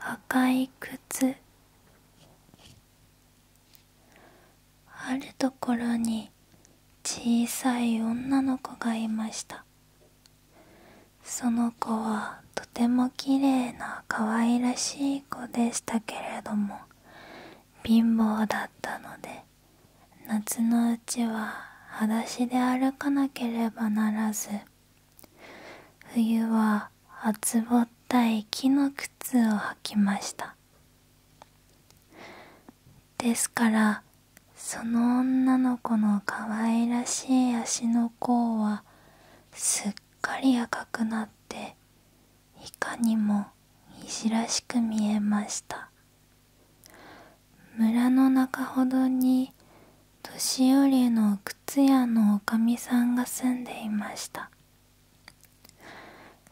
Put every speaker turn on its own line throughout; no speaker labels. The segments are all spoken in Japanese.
赤い靴あるところに小さい女の子がいましたその子はとてもきれいな可愛らしい子でしたけれども貧乏だったので夏のうちは裸足で歩かなければならず冬は厚ぼったい木の靴を履きましたですからその女の子の可愛らしい足の甲はすっかり赤くなっていかにもいらしく見えました村の中ほどに年寄りの靴屋のおかみさんが住んでいました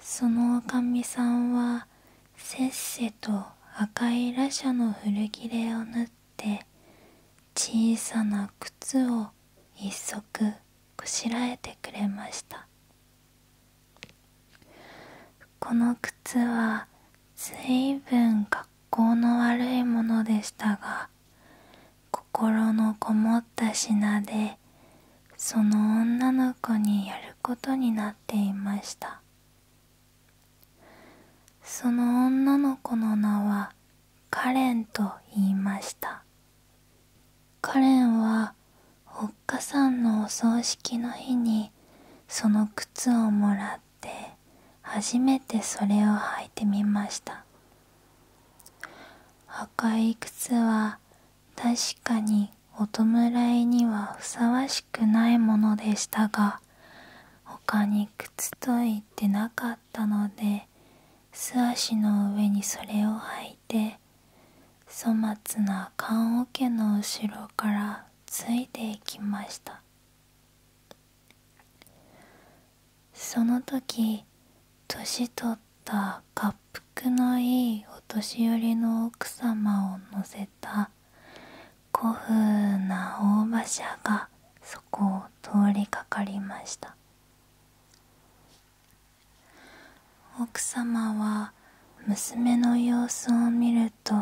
そのおかみさんはせっせと赤いラシャの古着れを縫って小さな靴を一足こしらえてくれましたこの靴はずいぶん格好の悪いものでしたが心のこもった品でその女の子にやることになっていましたその女の子の名はカレンと言いましたカレンはおっかさんのお葬式の日にその靴をもらっって初めてそれを履いてみました赤い靴は確かにお弔いにはふさわしくないものでしたが他に靴と言ってなかったので素足の上にそれを履いて粗末な棺桶の後ろからついていきましたその時年取った滑覆のいいお年寄りの奥様を乗せた古風な大馬車がそこを通りかかりました奥様は娘の様子を見ると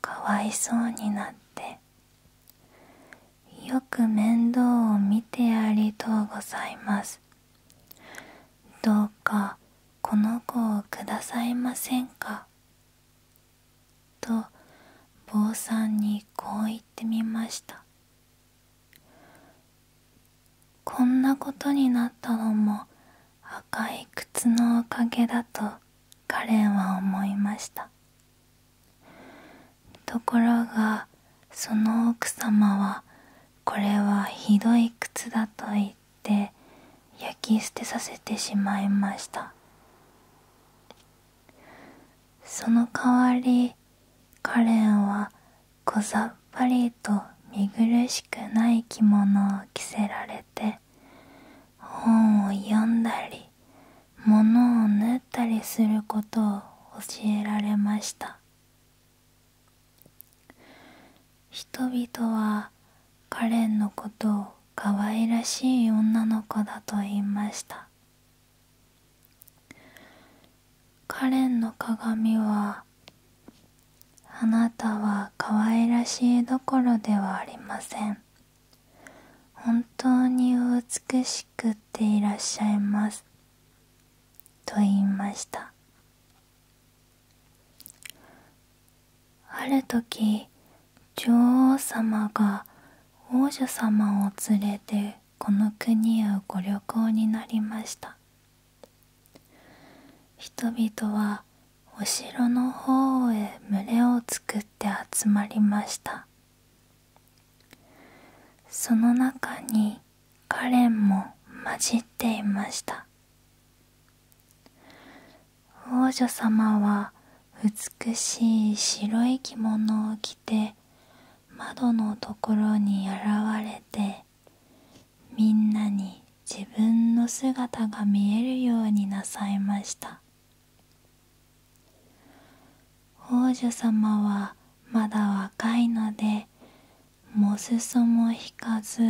かわいそうになってよく面倒を見てありがとうございますどうかこの子をくださいませんかと坊さんにこう言ってみましたこんなことになったのも赤い靴のおかげだとカレンは思いましたところがその奥様はこれはひどい靴だと言って焼き捨てさせてしまいましたその代わりカレンは小ざっぱりと見苦しくない着物を着せられて本を読んだりり物を縫ったりすることを教えられました人々はカレンのことを可愛らしい女の子だと言いましたカレンの鏡はあなたは可愛らしいどころではありません本当に美しくっていらっしゃいます」と言いましたある時女王様が王女様を連れてこの国へご旅行になりました人々はお城の方へ群れを作って集まりました「その中にカレンも混じっていました王女様は美しい白い着物を着て窓のところに現れてみんなに自分の姿が見えるようになさいました王女様はまだ若いのでもすそも引かず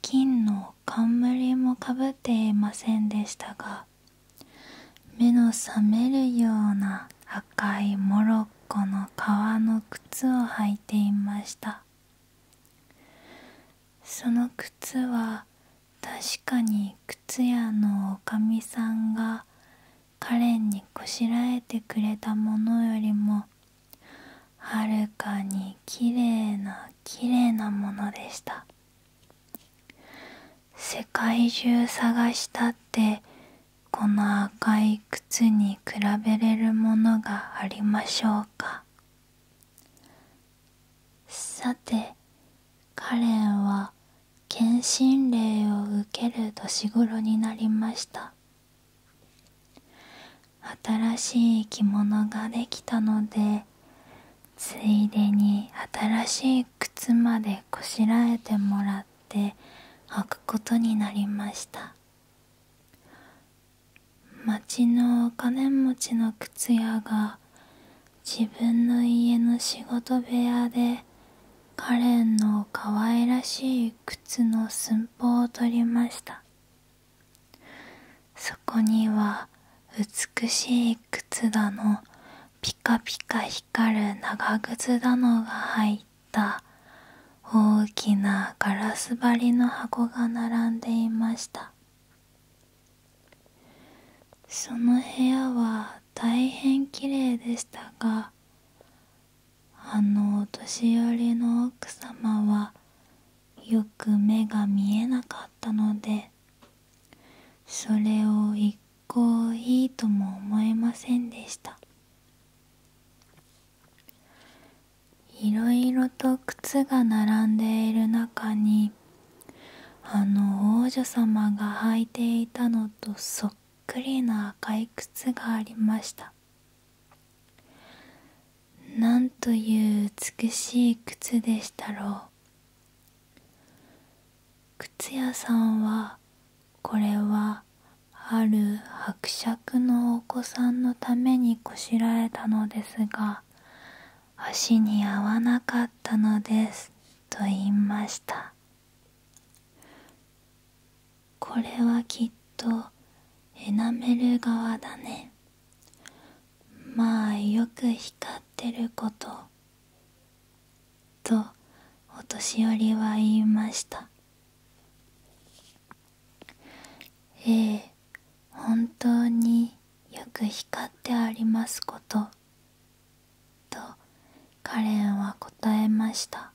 金の冠もかぶっていませんでしたが目の覚めるような赤いモロッコの革の靴を履いていましたその靴は確かに靴屋のおかみさんがカレンにこしらえてくれたものよりもはるかにきれいなきれいなものでした世界中探したってこの赤い靴に比べれるものがありましょうかさてカレンは検診令を受ける年頃になりました新しい着物ができたのでついでに新しい靴までこしらえてもらって履くことになりました町のお金持ちの靴屋が自分の家の仕事部屋でカレンの可愛らしい靴の寸法を取りましたそこには美しい靴だのピカピカ光る長靴だのが入った大きなガラス張りの箱が並んでいましたその部屋は大変綺麗でしたがあのお年寄りの奥様はよく目が見えなかったのでそれを一向いいとも思えませんでしたいろいろと靴が並んでいる中にあの王女様が履いていたのとそっくり。くり赤い靴がありましたなんという美しい靴でしたろう靴屋さんはこれはある伯爵のお子さんのためにこしらえたのですが足に合わなかったのですと言いましたこれはきっとエナメル側だねまあよく光ってることとお年寄りは言いましたええ本当によく光ってありますこととカレンは答えました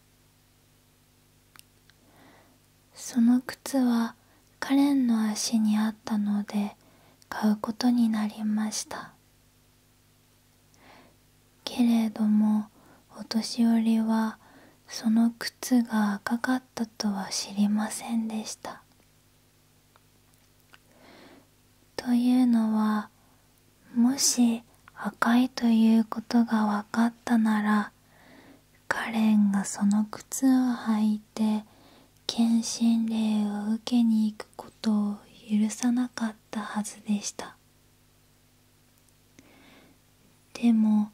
その靴はカレンの足にあったので買うことになりましたけれどもお年寄りはその靴が赤かったとは知りませんでしたというのはもし赤いということが分かったならカレンがその靴を履いて検診令を受けに行くことを許さなかったはずでしたでも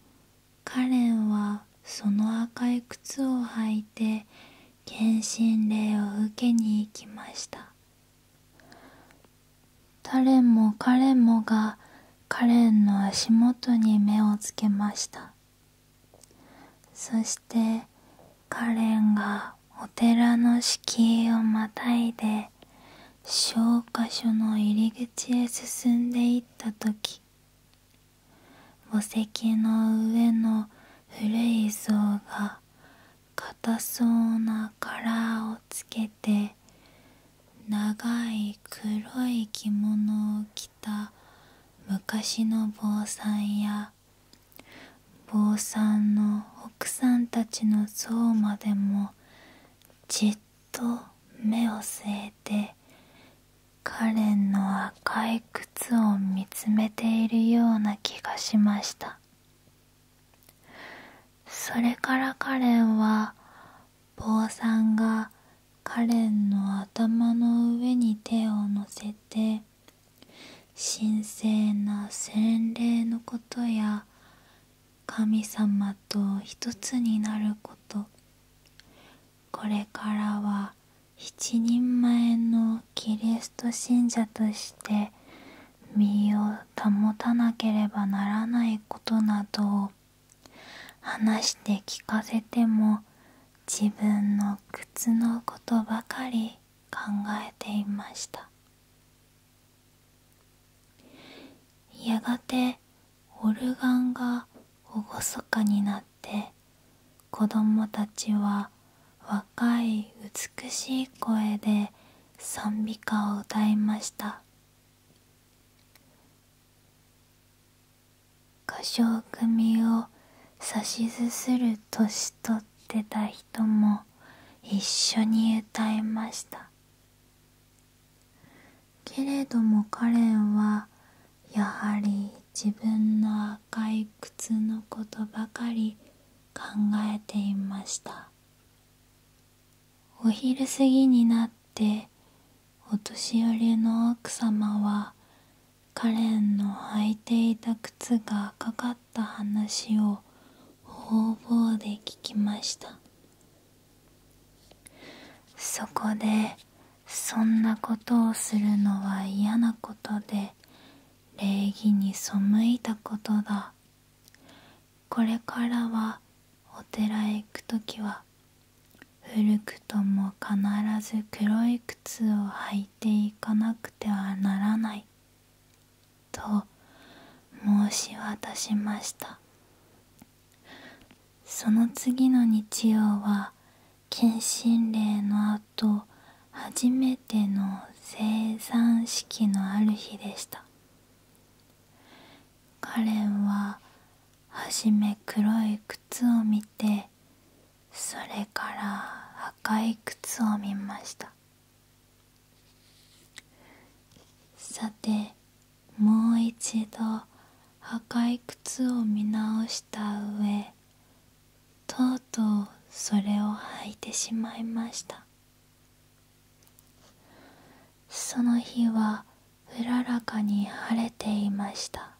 カレンはその赤い靴を履いて検診令を受けに行きました誰も彼もがカレンの足元に目をつけましたそしてカレンがお寺の敷居をまたいで消箇所の入り口へ進んでいった時墓石の上の古い像が硬そうなカラーをつけて長い黒い着物を着た昔の坊さんや坊さんの奥さんたちの像までもじっと目を据えてカレンの赤い靴を見つめているような気がしましたそれからカレンは坊さんがカレンの頭の上に手を乗せて神聖な洗礼のことや神様と一つになることこれからは一人前のキリスト信者として身を保たなければならないことなどを話して聞かせても自分の苦痛のことばかり考えていましたやがてオルガンが厳かになって子供たちは若い美しい声で賛美歌を歌いました歌唱組を指図する年取ってた人も一緒に歌いましたけれどもカレンはやはり自分の赤い靴のことばかり考えていましたお昼過ぎになってお年寄りの奥様はカレンの履いていた靴がかかった話を方々で聞きましたそこでそんなことをするのは嫌なことで礼儀に背いたことだこれからはお寺へ行く時は古くとも必ず黒い靴を履いていかなくてはならない」と申し渡しましたその次の日曜は謙信令のあと初めての生算式のある日でしたカレンははじめ黒い靴を見てそれから赤い靴を見ましたさてもう一度赤い靴を見直した上とうとうそれを履いてしまいましたその日はうららかに晴れていました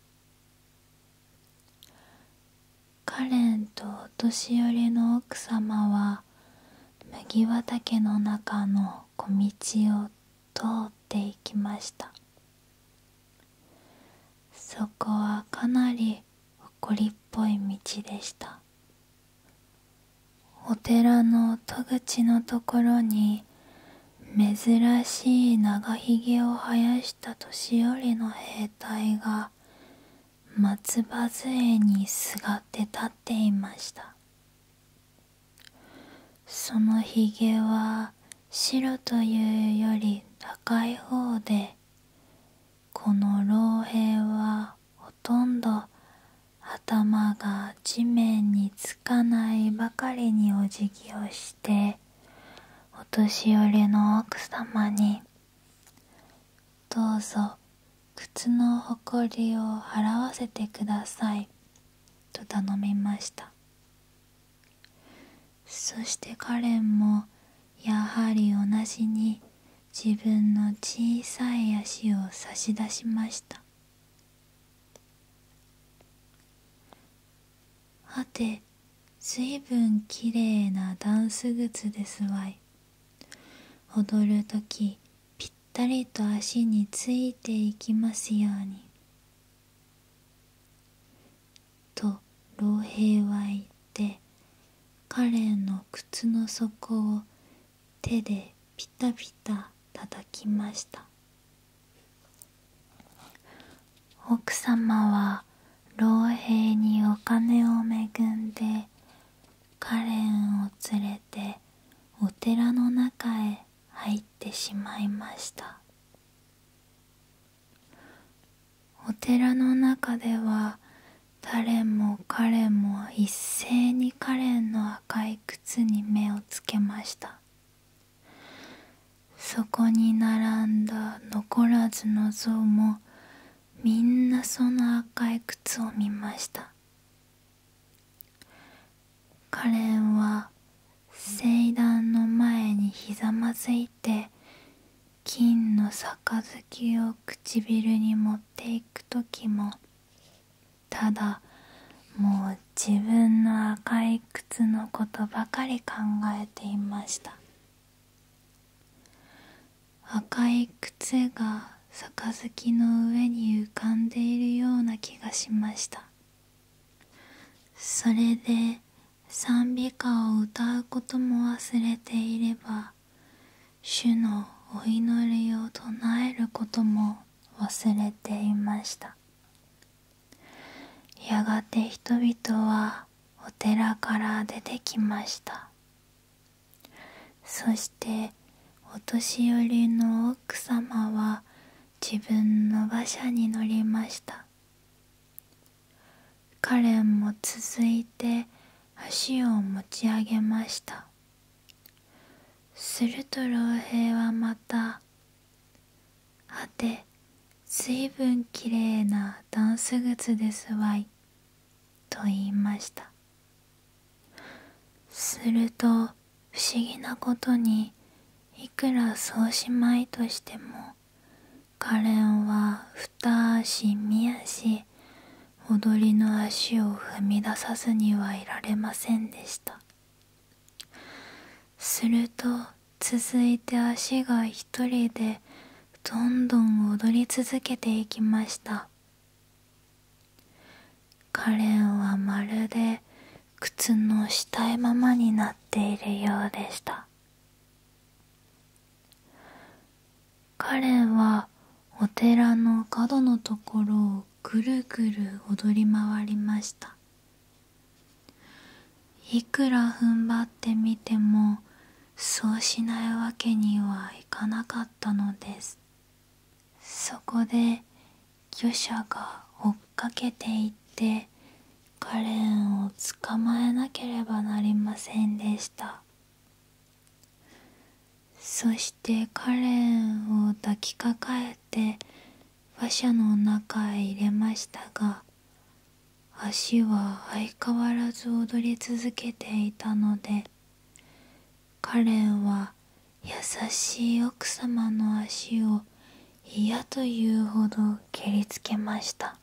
カレンとお年寄りの奥様は麦畑の中の小道を通っていきましたそこはかなり埃っぽい道でしたお寺の戸口のところに珍しい長ひげを生やした年寄りの兵隊が松葉杖にすがって立っていましたそのひげは白というより高い方でこの老兵はほとんど頭が地面につかないばかりにお辞儀をしてお年寄りの奥様に「どうぞ靴のほこりを払わせてください」と頼みましたそしてカレンもやはり同じに自分の小さい足を差し出しましたはてずいぶんきれいなダンス靴ですわい踊るときぴったりと足についていきますようにと老兵は言って彼の靴の底を手でピタピタ叩きました奥様は老兵にお金を恵んでカレンを連れてお寺の中へ入ってしまいましたお寺の中では誰も彼も一斉にカレンの赤い靴に目をつけましたそこに並んだ残らずの像もみんなその赤い靴を見ましたカレンは聖壇の前にひざまずいて金の杯を唇に持っていく時もただもう自分の赤い靴のことばかり考えていました赤い靴が杯の上に浮かんでいるような気がしましたそれで賛美歌を歌うことも忘れていれば主のお祈りを唱えることも忘れていましたやがて人々はお寺から出てきましたそしてお年寄りの奥様は自分の馬車に乗りましたカレンも続いて足を持ち上げましたすると老兵はまた「はてずいぶんきれいなダンス靴ですわい」と言いましたすると不思議なことにいくらそうしまいとしてもカレンは二足三足踊りの足を踏み出さずにはいられませんでした。すると続いて足が一人でどんどん踊り続けていきましたカレンはまるで靴のしたいままになっているようでしたカレンはお寺の角のところをぐるぐる踊り回りましたいくら踏ん張ってみてもそうしないわけにはいかなかったのですそこで魚者が追っかけていってカレンを捕まえなければなりませんでしたそしてカレンを抱きかかえて馬車の中へ入れましたが足は相変わらず踊り続けていたのでカレンは優しい奥様の足を嫌というほど蹴りつけました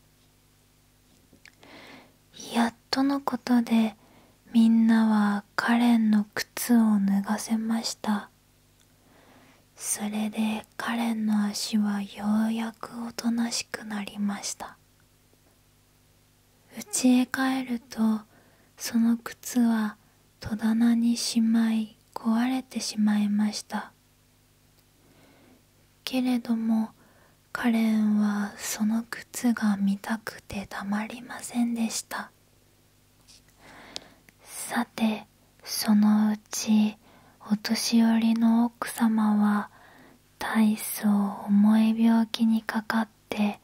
やっとのことでみんなはカレンの靴を脱がせましたそれでカレンの足はようやくおとなしくなりました家へ帰るとその靴は戸棚にしまい壊れてしまいましたけれどもカレンはその靴が見たくてたまりませんでしたさてそのうちお年寄りの奥様は大層重い病気にかかって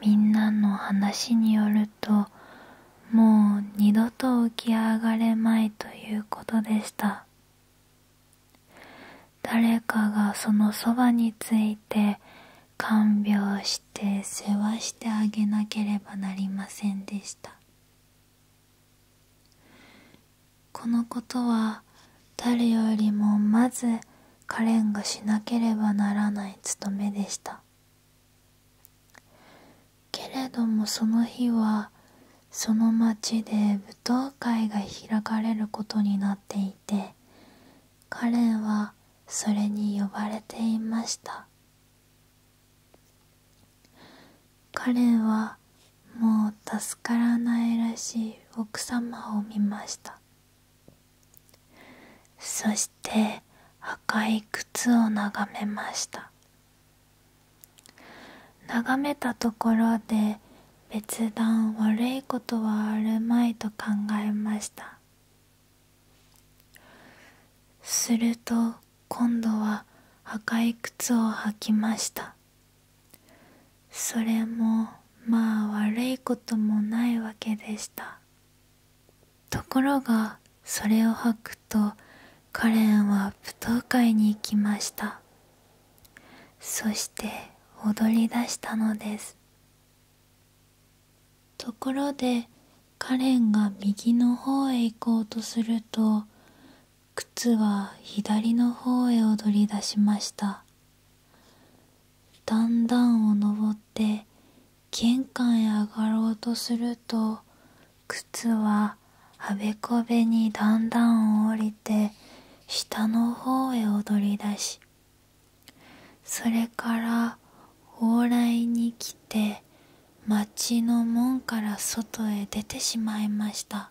みんなの話によるともう二度と浮き上がれまいということでした誰かがそのそばについて看病して世話してあげなければなりませんでしたこのことは誰よりもまずカレンがしなければならない務めでしたけれどもその日はその町で舞踏会が開かれることになっていてカレンはそれに呼ばれていました彼はもう助からないらしい奥様を見ましたそして赤い靴を眺めました眺めたところで別段悪いことはあるまいと考えましたすると今度は赤い靴を履きましたそれもまあ悪いこともないわけでしたところがそれを履くとカレンは舞踏会に行きましたそして踊りだしたのですところでカレンが右の方へ行こうとすると靴は左の方へ踊り出しましただんだんを登って玄関へ上がろうとすると靴はあべこべにだ段々を降りて下の方へ踊り出しそれから往来に来て町の門から外へ出てしまいました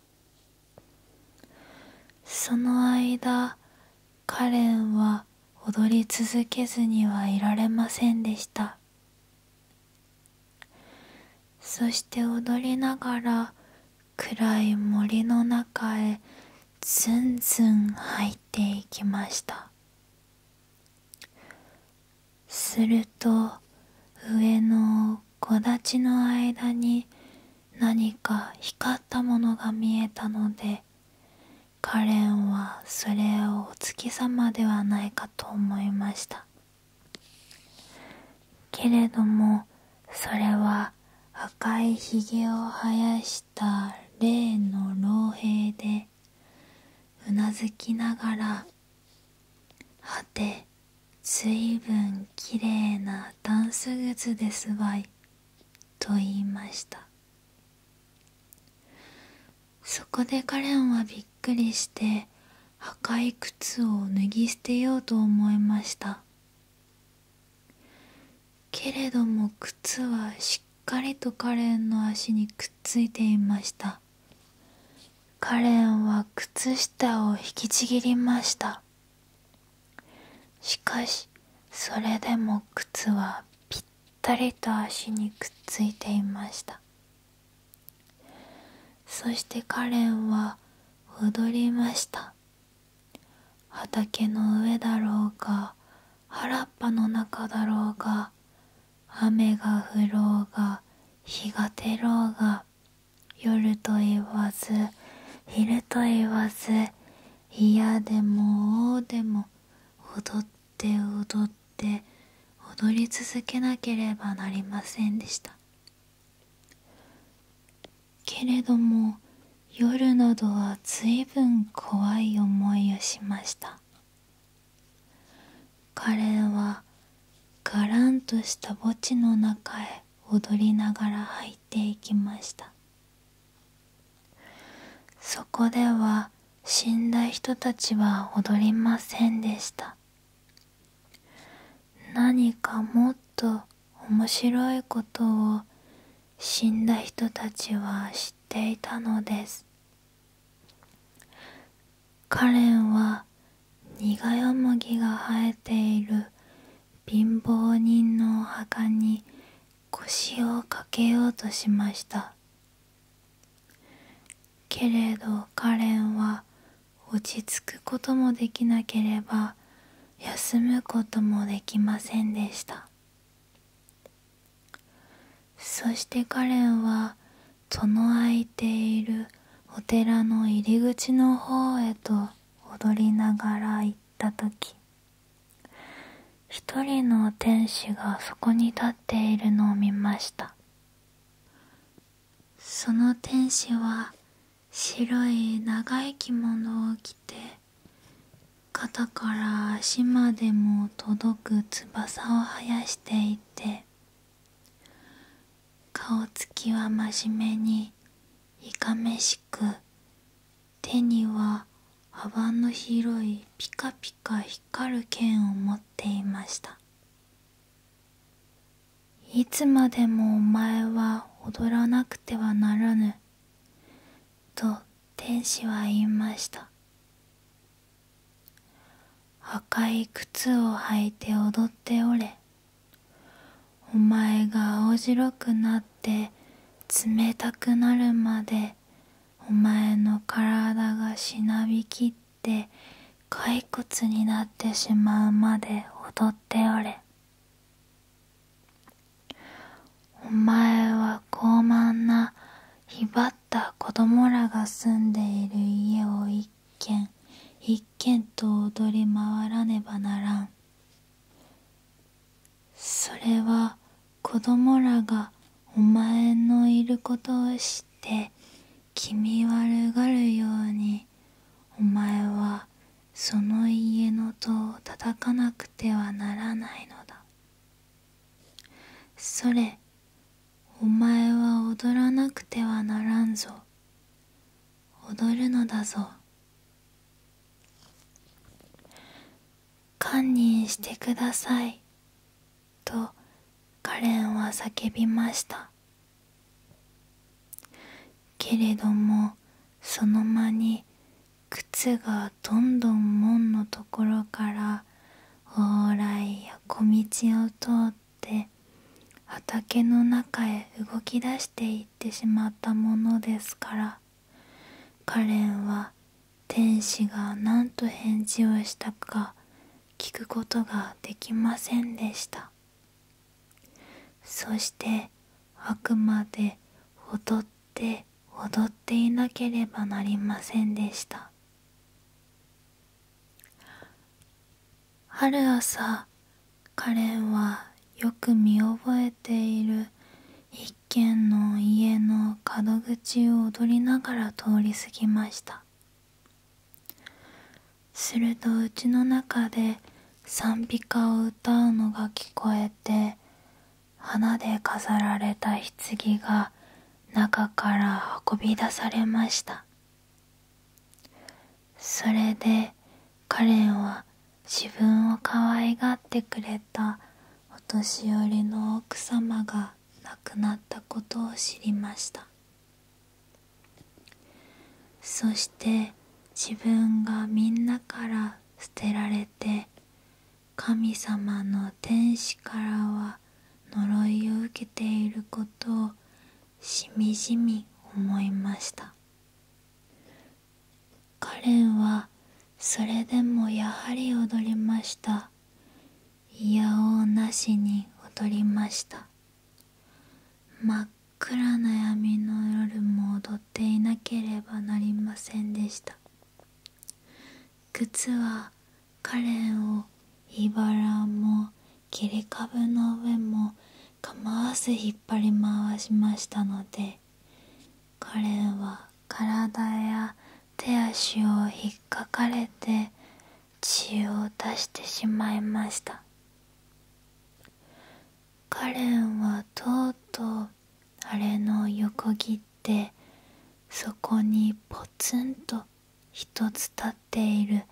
その間カレンは踊り続けずにはいられませんでしたそして踊りながら暗い森の中へずんずん入っていきましたすると上の木立の間に何か光ったものが見えたのでカレンはそれをお月様ではないかと思いましたけれどもそれは赤いヒゲを生やして、した例の老兵でうなずきながらはて随分きれいなダンス靴ですわいと言いましたそこでカレンはびっくりして赤い靴を脱ぎ捨てようと思いましたけれども靴はししっかりとカレンの足にくっついていましたカレンは靴下を引きちぎりましたしかしそれでも靴はぴったりと足にくっついていましたそしてカレンは踊りました畑の上だろうか原っぱの中だろうが雨が降ろうが日が照ろうが夜と言わず昼と言わず嫌でも王でも踊って踊って踊り続けなければなりませんでしたけれども夜などはずいぶん怖い思いをしましたカレンはがらんとした墓地の中へ踊りながら入っていきましたそこでは死んだ人たちは踊りませんでした何かもっと面白いことを死んだ人たちは知っていたのですカレンは苦よもぎが生えている貧乏人のお墓に腰をかけようとしましたけれどカレンは落ち着くこともできなければ休むこともできませんでしたそしてカレンはその空いているお寺の入り口の方へと踊りながら行った時一人の天使がそこに立っているのを見ましたその天使は白い長い着物を着て肩から足までも届く翼を生やしていて顔つきは真面目にいかめしく手には幅の広いピカピカ光る剣を持っていましたいつまでもお前は踊らなくてはならぬと天使は言いました赤い靴を履いて踊っておれお前が青白くなって冷たくなるまでお前の体がしなびきって骸骨になってしまうまで踊っておれお前は傲慢な威張った子供らが住んでいる家を一軒一軒と踊り回らねばならんそれは子供らがお前のいることを知って気味悪がるようにお前はその家の戸を叩かなくてはならないのだそれお前は踊らなくてはならんぞ踊るのだぞ堪忍してくださいとカレンは叫びましたけれどもその間に靴がどんどん門のところから往来や小道を通って畑の中へ動き出していってしまったものですからカレンは天使が何と返事をしたか聞くことができませんでしたそしてあくまで踊って踊っていなければなりませんでしたある。朝カレンはよく見覚えている一軒の家の角口を踊りながら通り過ぎましたするとうちの中で賛美歌を歌うのが聞こえて花で飾られた棺が中から運び出されましたそれでカレンは自分を可愛がってくれたお年寄りの奥様が亡くなったことを知りましたそして自分がみんなから捨てられて神様の天使からは呪いを受けていることをしみじみ思いましたカレンはそれでもやはり踊りましたいやおうなしに踊りました真っ暗な闇の夜も踊っていなければなりませんでした靴はカレンをいばらも切り株の上も構わず引っ張り回しましたのでカレンは体や手足を引っかかれて血を出してしまいましたカレンはとうとうあれの横切ってそこにポツンと一つ立っている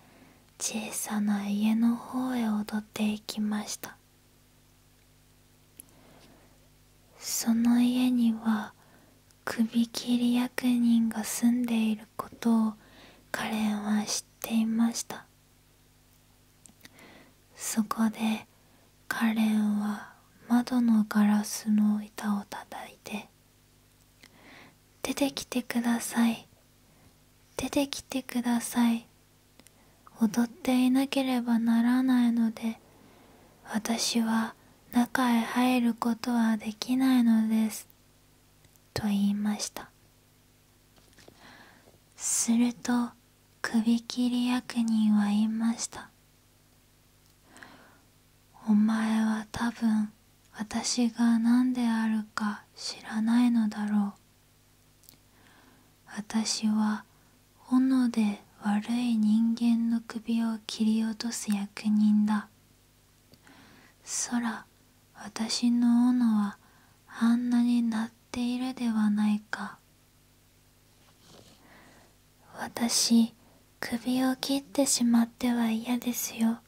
小さな家の方へ踊っていきましたその家には首切り役人が住んでいることをカレンは知っていましたそこでカレンは窓のガラスの板をたたいて出てきてください出てきてください踊っていなければならないので私は中へ入ることはできないのですと言いましたすると首切り役人は言いましたお前は多分私が何であるか知らないのだろう私は斧で悪い人間の首を切り落とす役人だそら、私の斧はあんなになっているではないか私首を切ってしまっては嫌ですよ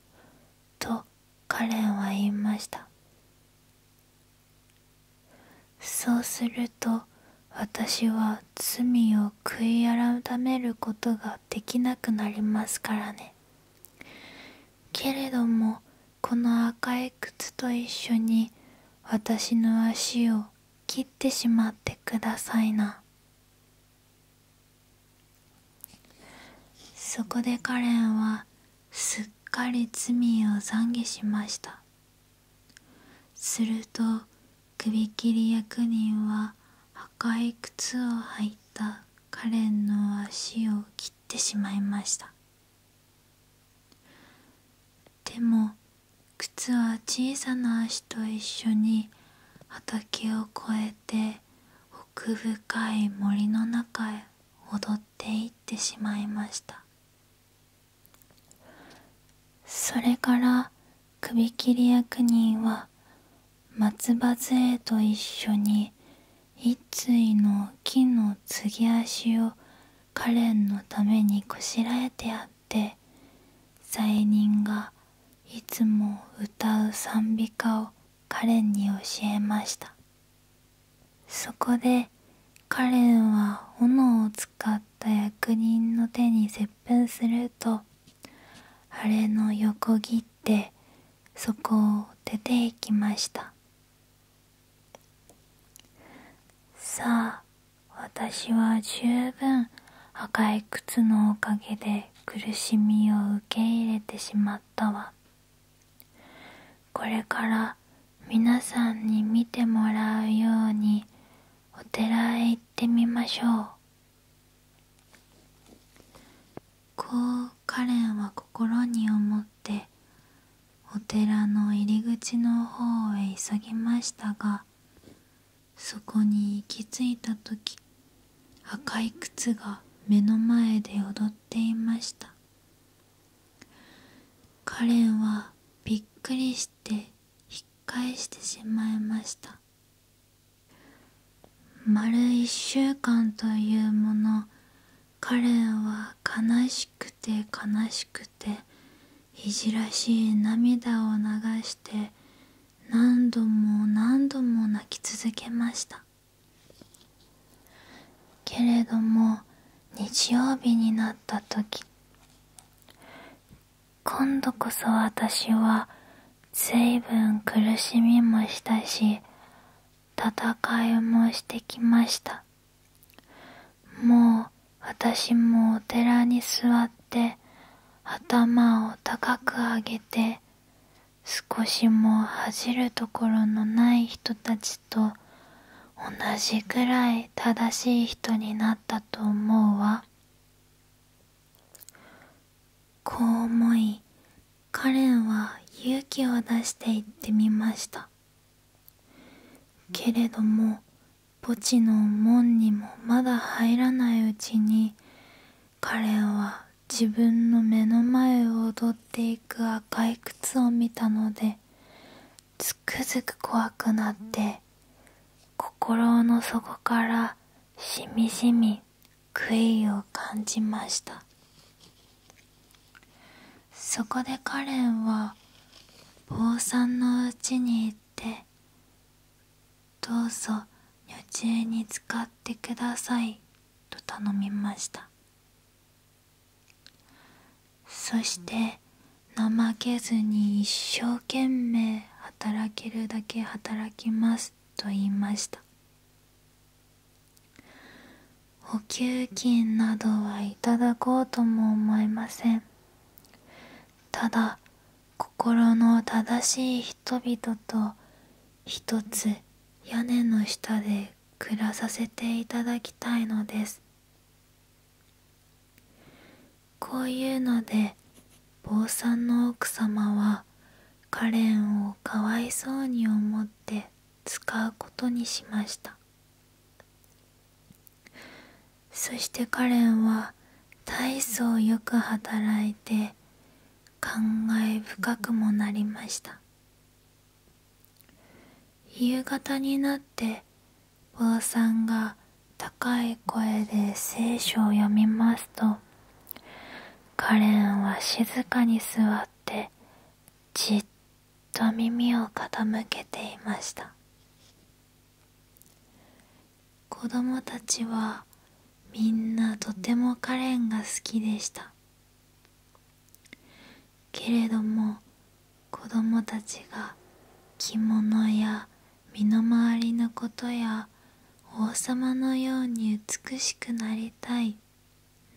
とカレンは言いましたそうすると私は罪を悔い改めることができなくなりますからねけれどもこの赤い靴と一緒に私の足を切ってしまってくださいなそこでカレンはすっかり罪を懺悔しましたすると首切り役人は赤い靴を履いたカレンの足を切ってしまいましたでも靴は小さな足と一緒に畑を越えて奥深い森の中へ踊っていってしまいましたそれから首切り役人は松葉杖と一緒に一対の木の継ぎ足をカレンのためにこしらえてあって罪人がいつも歌う賛美歌をカレンに教えましたそこでカレンは斧を使った役人の手に接吻するとあれの横切ってそこを出ていきましたさあ私は十分赤い靴のおかげで苦しみを受け入れてしまったわこれから皆さんに見てもらうようにお寺へ行ってみましょうこうカレンは心に思ってお寺の入り口の方へ急ぎましたがそこに行き着いた時赤い靴が目の前で踊っていましたカレンはびっくりして引っ返してしまいました丸1週間というものカレンは悲しくて悲しくていじらしい涙を流して何度も何度も泣き続けましたけれども日曜日になった時今度こそ私は随分苦しみもしたし戦いもしてきましたもう私もお寺に座って頭を高く上げて少しも恥じるところのない人たちと同じくらい正しい人になったと思うわこう思いカレンは勇気を出して行ってみましたけれども墓地の門にもまだ入らないうちに彼は自分の目の前を踊っていく赤い靴を見たのでつくづく怖くなって心の底からしみじみ悔いを感じましたそこでカレンは坊さんのうちに行ってどうぞ女中に使ってくださいと頼みましたそして怠けずに一生懸命働けるだけ働きますと言いました補給金などはいただこうとも思えませんただ心の正しい人。人々と一つ屋根の下で暮らさせていただきたいのですこういうので坊さんの奥様はカレンをかわいそうに思って使うことにしましたそしてカレンは大層よく働いて感慨深くもなりました夕方になって坊さんが高い声で聖書を読みますとカレンは静かに座ってじっと耳を傾けていました子供たちはみんなとてもカレンが好きでしたけれども子供たちが着物や身の回りのことや王様のように美しくなりたい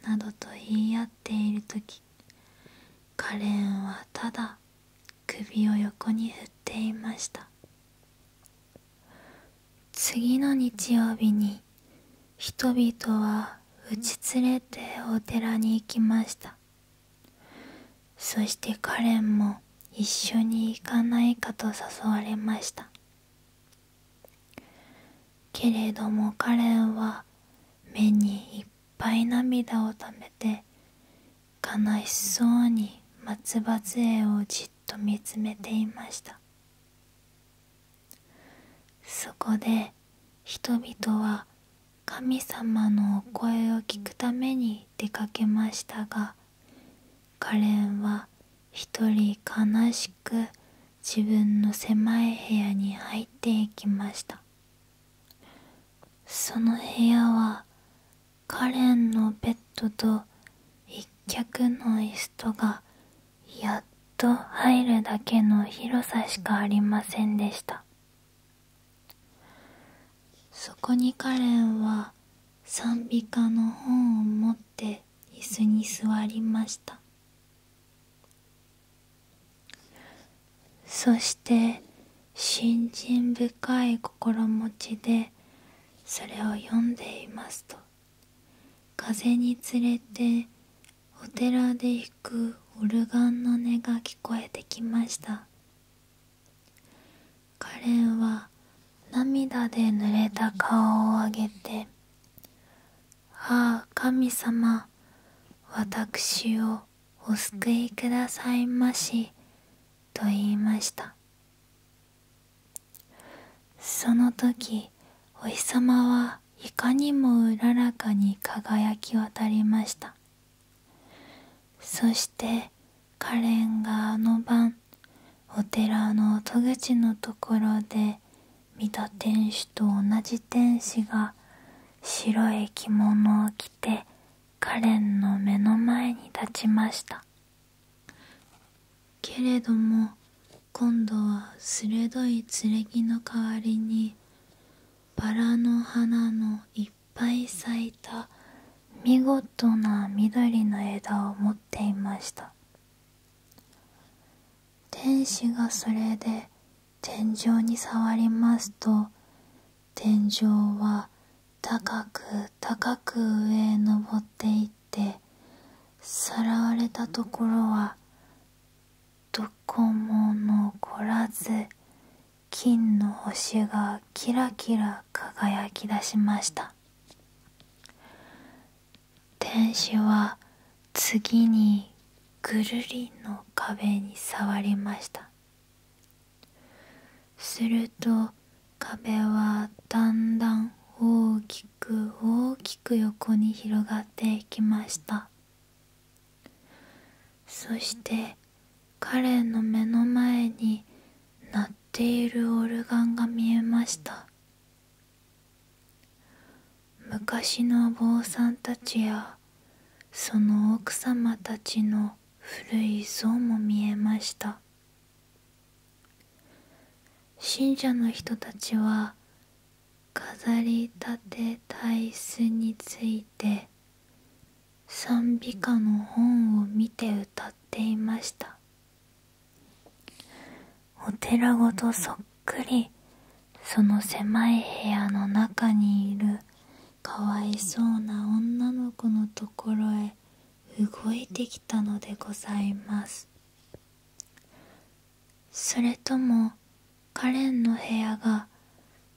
などと言い合っている時カレンはただ首を横に振っていました次の日曜日に人々は打ち連れてお寺に行きましたそしてカレンも一緒に行かないかと誘われましたけれどもカレンは目にいっぱい涙をためて悲しそうに松葉杖をじっと見つめていましたそこで人々は神様のお声を聞くために出かけましたがカレンは一人悲しく自分の狭い部屋に入っていきましたその部屋はカレンのベッドと一脚の椅子とがやっと入るだけの広さしかありませんでしたそこにカレンは賛美歌の本を持って椅子に座りましたそして信心深い心持ちでそれを読んでいますと「風に連れてお寺で弾くオルガンの音が聞こえてきましたカレンは涙で濡れた顔を上げて「ああ神様私をお救いくださいまし」と言いましたその時お日様はいかにもうららかに輝き渡りましたそしてカレンがあの晩お寺の戸口のところで見た天使と同じ天使が白い着物を着てカレンの目の前に立ちましたけれども今度は鋭い剣の代わりにバラの花のいっぱい咲いた見事な緑の枝を持っていました天使がそれで天井に触りますと天井は高く高く上へ登っていってさらわれたところはどこも残らず金の星がキラキラ輝き出しました天使は次にぐるりの壁に触りましたすると壁はだんだん大きく大きく横に広がっていきましたそしてカレンの目の前に鳴っているオルガンが見えました昔のお坊さんたちやその奥様たちの古い像も見えました信者の人たちは飾り立て体質について賛美歌の本を見て歌っていましたお寺ごとそっくりその狭い部屋の中にいるかわいそうな女の子のところへ動いてきたのでございますそれともカレンの部屋が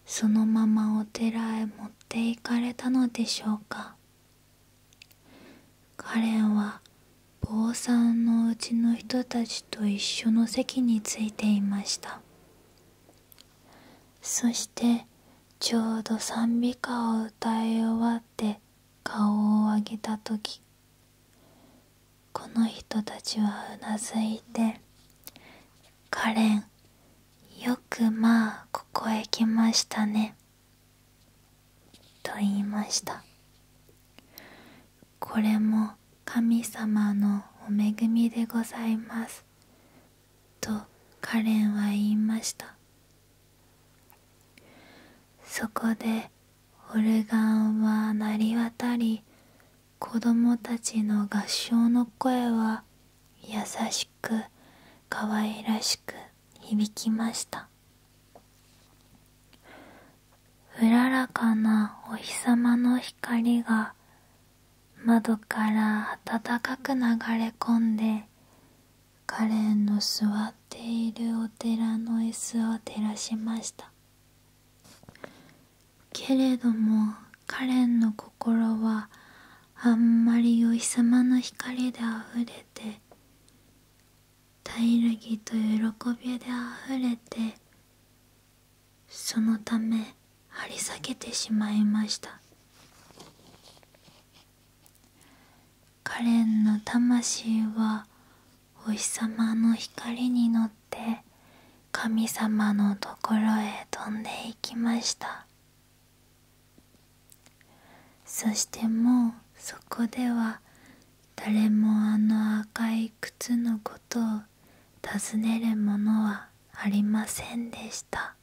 そのままお寺へ持っていかれたのでしょうかカレンは坊さんのうちの人たちと一緒の席についていましたそしてちょうど賛美歌を歌い終わって顔を上げた時この人たちはうなずいて「カレンよくまあここへ来ましたね」と言いましたこれも神様のお恵みでございますとカレンは言いましたそこでオルガンは鳴り渡り子供たちの合唱の声は優しく可愛らしく響きましたうららかなお日様の光が窓から暖かく流れ込んでカレンの座っているお寺の椅子を照らしましたけれどもカレンの心はあんまりお日様の光であふれて大らぎと喜びであふれてそのため張り裂けてしまいましたカレンの魂はお日様の光に乗って神様のところへ飛んでいきましたそしてもうそこでは誰もあの赤い靴のことを尋ねるものはありませんでした